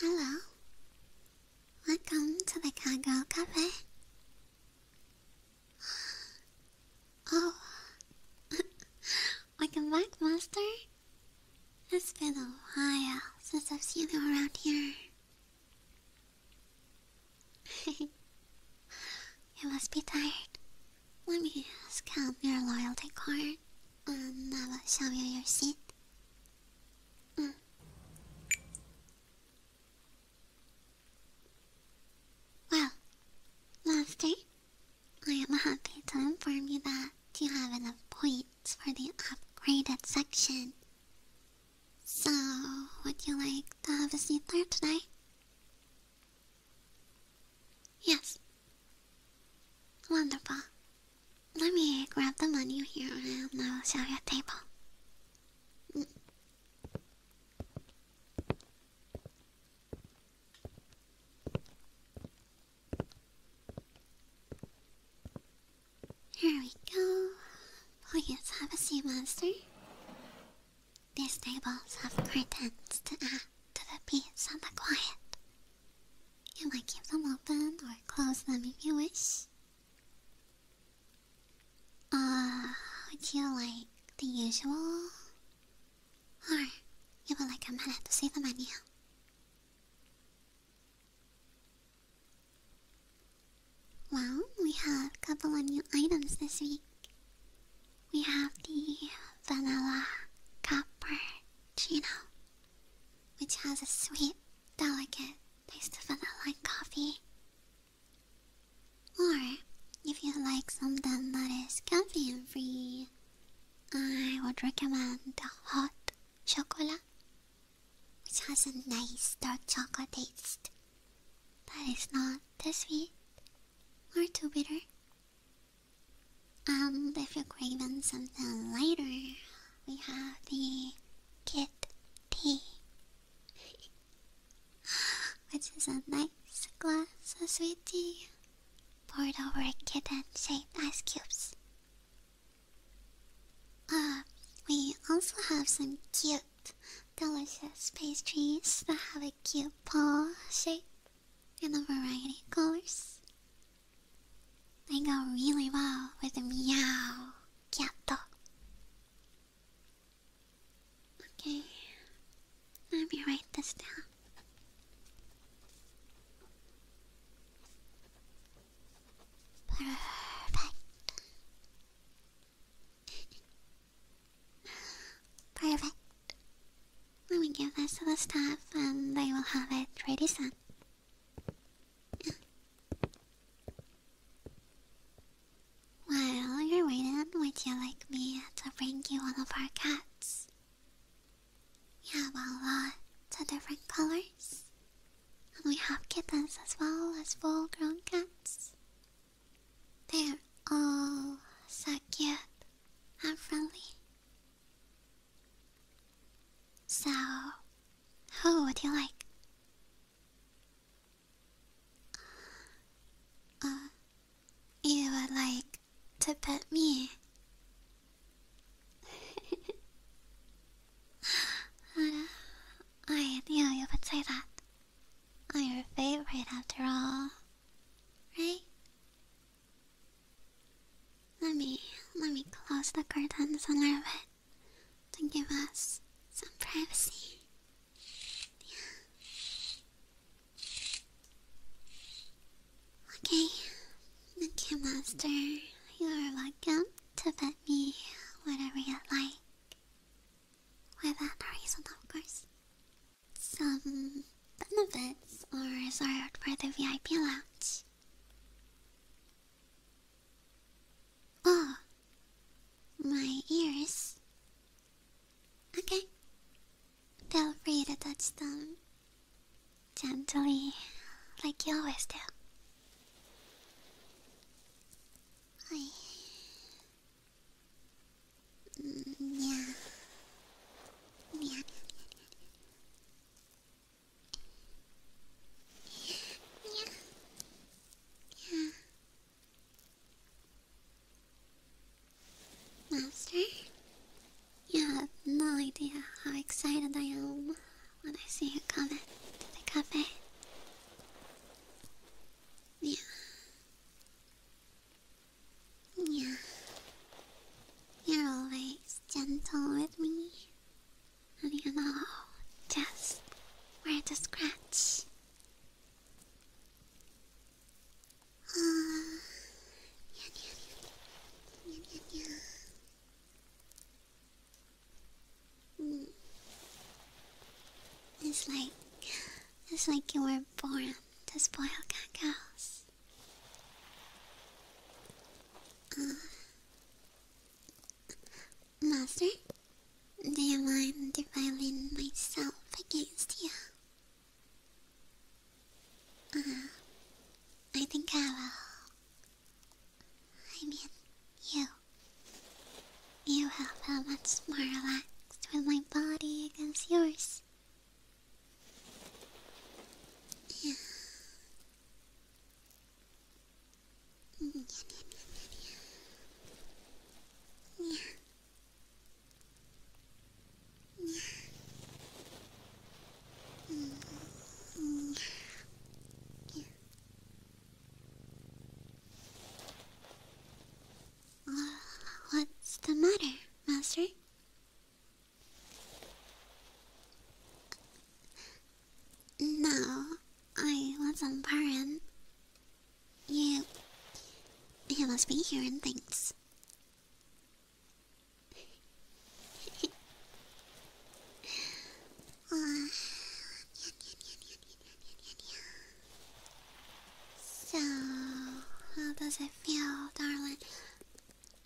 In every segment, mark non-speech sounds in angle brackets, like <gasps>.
Hello. Welcome to the Cowgirl Cafe. <gasps> Oh. <laughs> Welcome back, Master. It's been a while since I've seen you around here. <laughs> you must be tired. Let me scan your loyalty card and I will show you your seat. Mm. Well, lastly, I am happy to inform you that do you have enough points for the upgraded section. So, would you like to have a seat there today? Yes. Wonderful. Let me grab the menu here and I'll show you a table. Here we go. Please have a sea monster. These tables have curtains to add to the peace and the quiet. You might keep them open or close them if you wish. Uh, would you like the usual? Or you would like a minute to see the menu? Well, we have a couple of new items this week. We have the vanilla cupper chino, which has a sweet, delicate taste of vanilla coffee. Or, if you like something that is caffeine free, I would recommend the hot chocolate which has a nice dark chocolate taste that is not too sweet or too bitter. And um, if you're craving something lighter, we have the Kit Tea, <gasps> which is a nice glass of sweet tea poured over a kitten shaped ice cubes Ah, we also have some cute, delicious pastries that have a cute paw shape and a variety of colors. They go really well with meow cat. Okay, let me write this down. Perfect. Perfect. Let me give this to the staff and they will have it ready soon. While you're waiting, would you like me to bring you one of our cats? Yeah, have a lot to different colors. And we have kittens as well as full grown cats. They're all so cute and friendly. So, who would you like? Uh, you would like to pet me? <laughs> I knew you would say that. I'm oh, your favorite after all, right? Let me let me close the curtains a our bed to give us some privacy. Okay, Okay, Monkey Master, you are welcome to bet me whatever you like. Without a reason, of course. Some benefits are reserved for the VIP lounge. Oh, my ears. Okay. Feel free to touch them gently, like you always do. I... Master, you have no idea how excited I am when I see you coming to the cafe. Yeah. Yeah. You're always gentle with me. And you know just where to scratch. Uh, Mm. It's like it's like you were born to spoil cacos. Uh, Master, do you mind if I lean myself against you? Uh, I think I will. I mean, you. You have how much more relaxed with my body against yours. Yeah. yeah. Uh, what's the matter, Master? No, I wasn't born. You. You must be hearing things. <laughs> So, how does it feel, darling?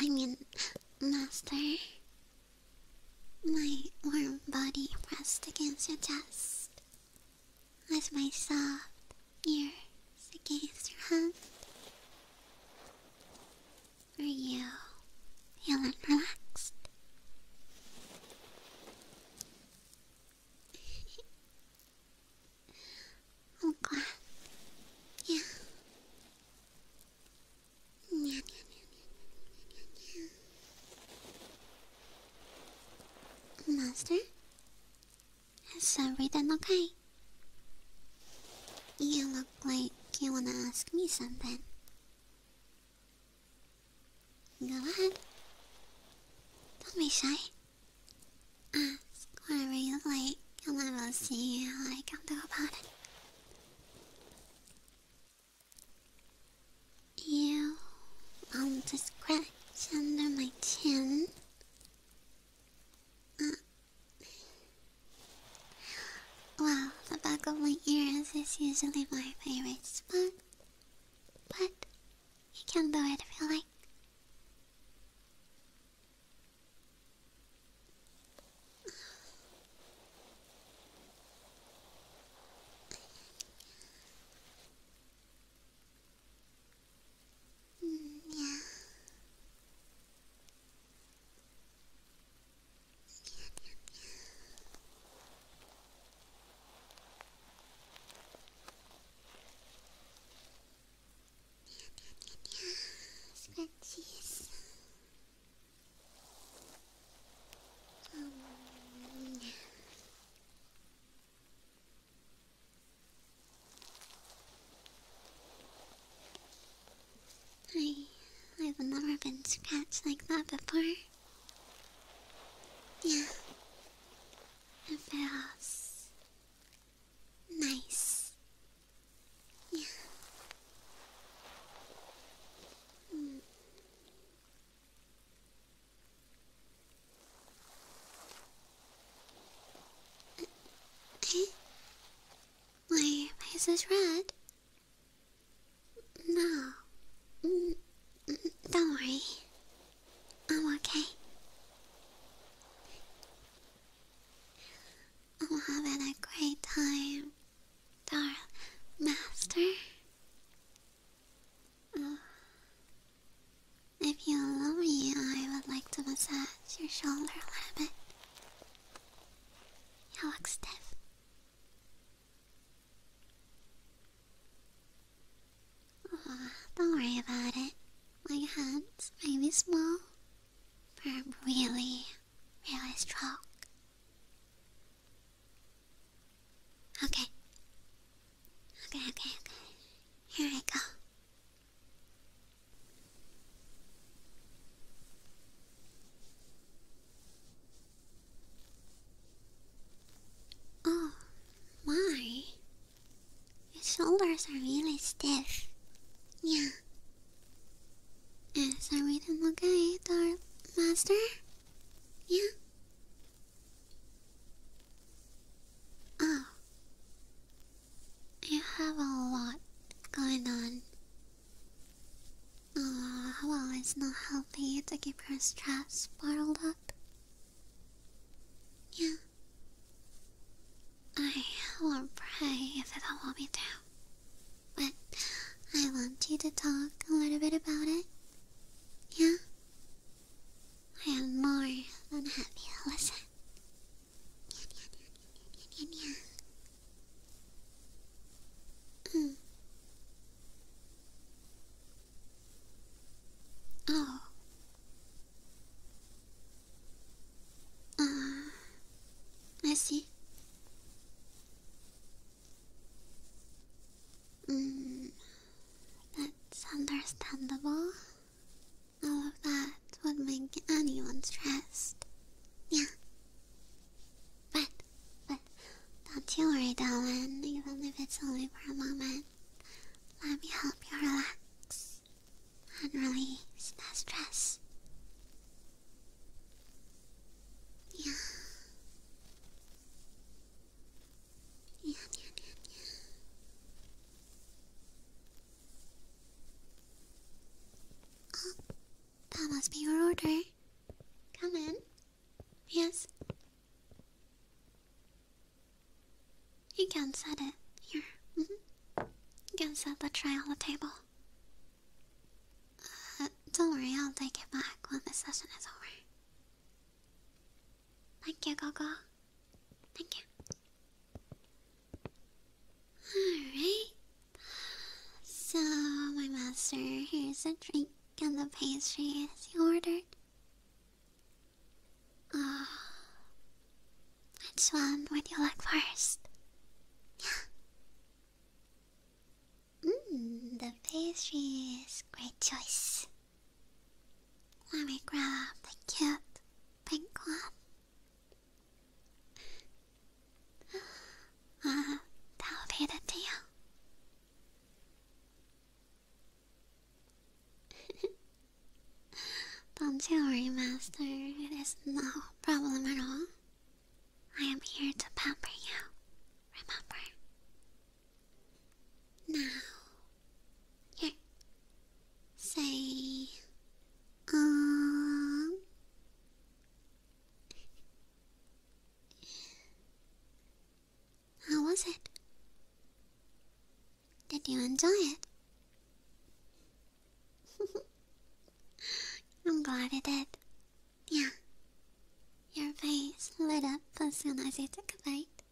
I mean, master? My warm body pressed against your chest, with my soft ears against your hand. Are you feeling relaxed. I'm oh, glad. Yeah. Yeah, yeah, yeah, yeah, yeah, Master? Has everything okay? You look like you wanna ask me something. Go ahead. Don't be shy. Ask whatever you like, and I will see how I can do about it. You want to scratch under my chin? Uh, well, the back of my ears is usually my favorite spot. But you can do it if you like. Mm, yeah. Scratchies. Um, I I've never been scratched like that before. Yeah. It feels nice. <laughs> Yeah. Mm. Why are your faces red? No. Mm, mm, don't worry. I'm okay. I'm having a great time, darling master. If you allow me, I would like to massage your shoulder a little bit. You look stiff don't worry about it. My hands may be small, but I'm really, really strong. Okay. Okay, okay, okay. Here I go. Oh, my. Your shoulders are really stiff. Yeah. Yes, are we done okay, our master? Yeah. Oh. You have a lot going on. Ah, oh, well, it's not healthy to keep your stress bottled up. Yeah. I won't pray if you don't want me But I want you to talk a little bit about it. Yeah? I am more than happy to listen. Yeah, yeah, yeah, yeah, yeah, yeah, yeah. Mm. Oh. Ah, I see. Mm, that's understandable. All of that would make anyone stressed. Yeah. But, but, don't you worry, darling, even if it's only for a moment. Let me help you relax and release that stress. Yeah, yeah, yeah, yeah. Oh, that must be your order. Come in. Yes. You can set it here. Mm-hmm. You can set the tray on the table. Uh, don't worry, I'll take it back when the session is over. Thank you, Gogo. Thank you. Alright. So, my master, here's a drink. And the pastry as you ordered? Ah, which one would you like first? Mmm, <laughs> the pastry is great choice. Let me grab the cute pink one. <gasps> Ah, that'll be the deal. Don't you worry, Master. It is no problem at all. I am here to pamper you. Remember? Now, here. Say, um. How was it? Did you enjoy it? <laughs> I'm glad I did. Yeah. Your face lit up as soon as you took a bite.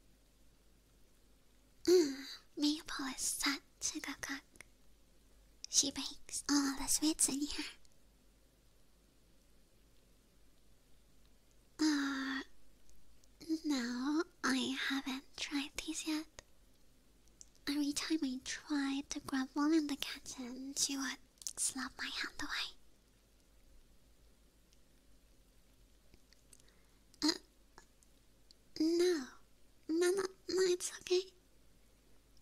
Mm, Maple is such a good cook. She bakes all the sweets in here. Uh, no, I haven't tried these yet. Every time I tried to grab one in the kitchen, she would slap my hand away. Uh, no. No, no, no, it's okay.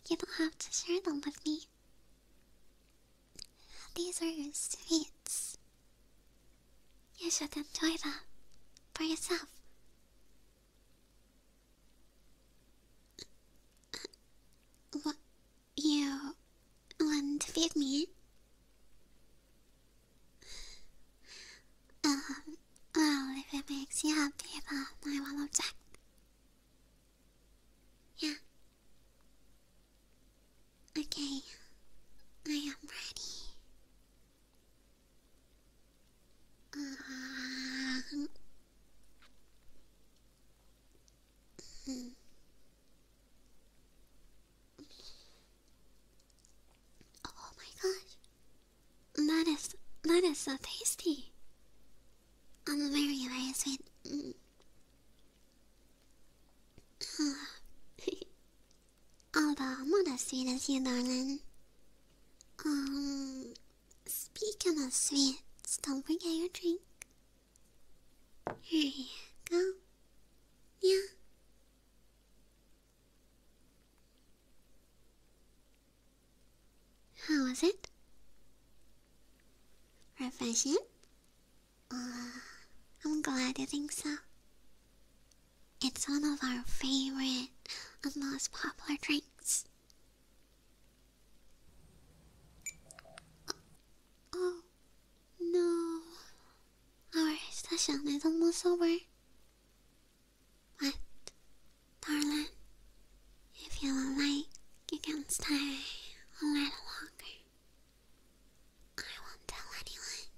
You don't have to share them with me. These are sweets. You should enjoy them for yourself. What you want to feed me? Um, well, if it makes you happy, then I will object. Yeah, Okay, I am ready. Uh, Oh my gosh. That is that is so tasty. I'm very very oh, but I'm not as sweet as you, darling. Um, speaking of sweets, don't forget your drink. Here you go. Yeah. How was it? Refreshing? Uh, I'm glad you think so. It's one of our favorite and most popular drinks. Uh, oh no, our session is almost over. But, darling, if you like, you can stay a little longer. I won't tell anyone.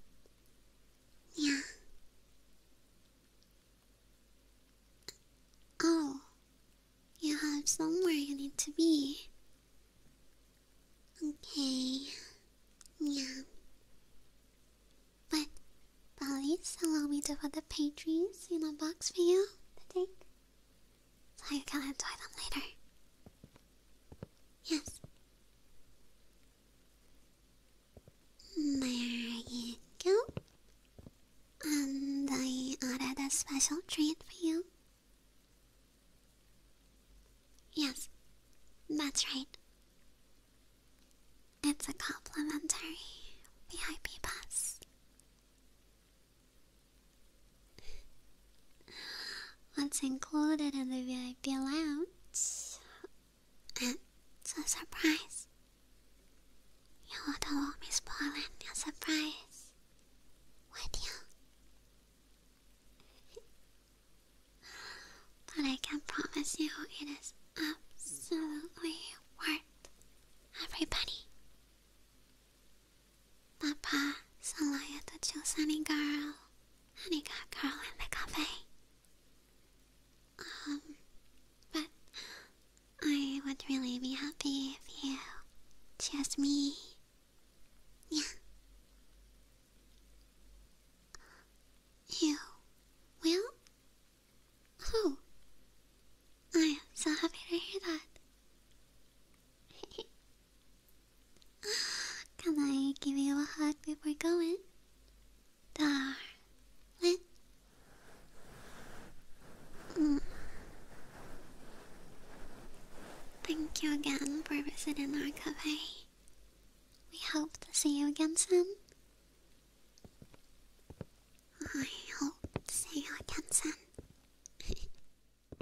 Yeah. Oh, you have somewhere you need to be. Okay. Yeah. But, please allow me to put the pastries in a box for you to take. So you can enjoy them later. Yes. There you go. And I ordered a special treat for you. Yes, that's right. It's a complimentary VIP pass. What's included in the VIP lounge? It's a surprise. You don't want me spoiling your surprise, would you? but I can promise you it is absolutely worth everybody. Papa is allowed to choose any girl honey got Carl in the cafe. Um, but I would really be happy if you chose me. Yeah. You will? Oh, I am so happy to hear that. Can I give you a hug before going? Darn. What? Thank you again for visiting our cafe. We hope to see you again soon. I hope to see you again soon. <laughs>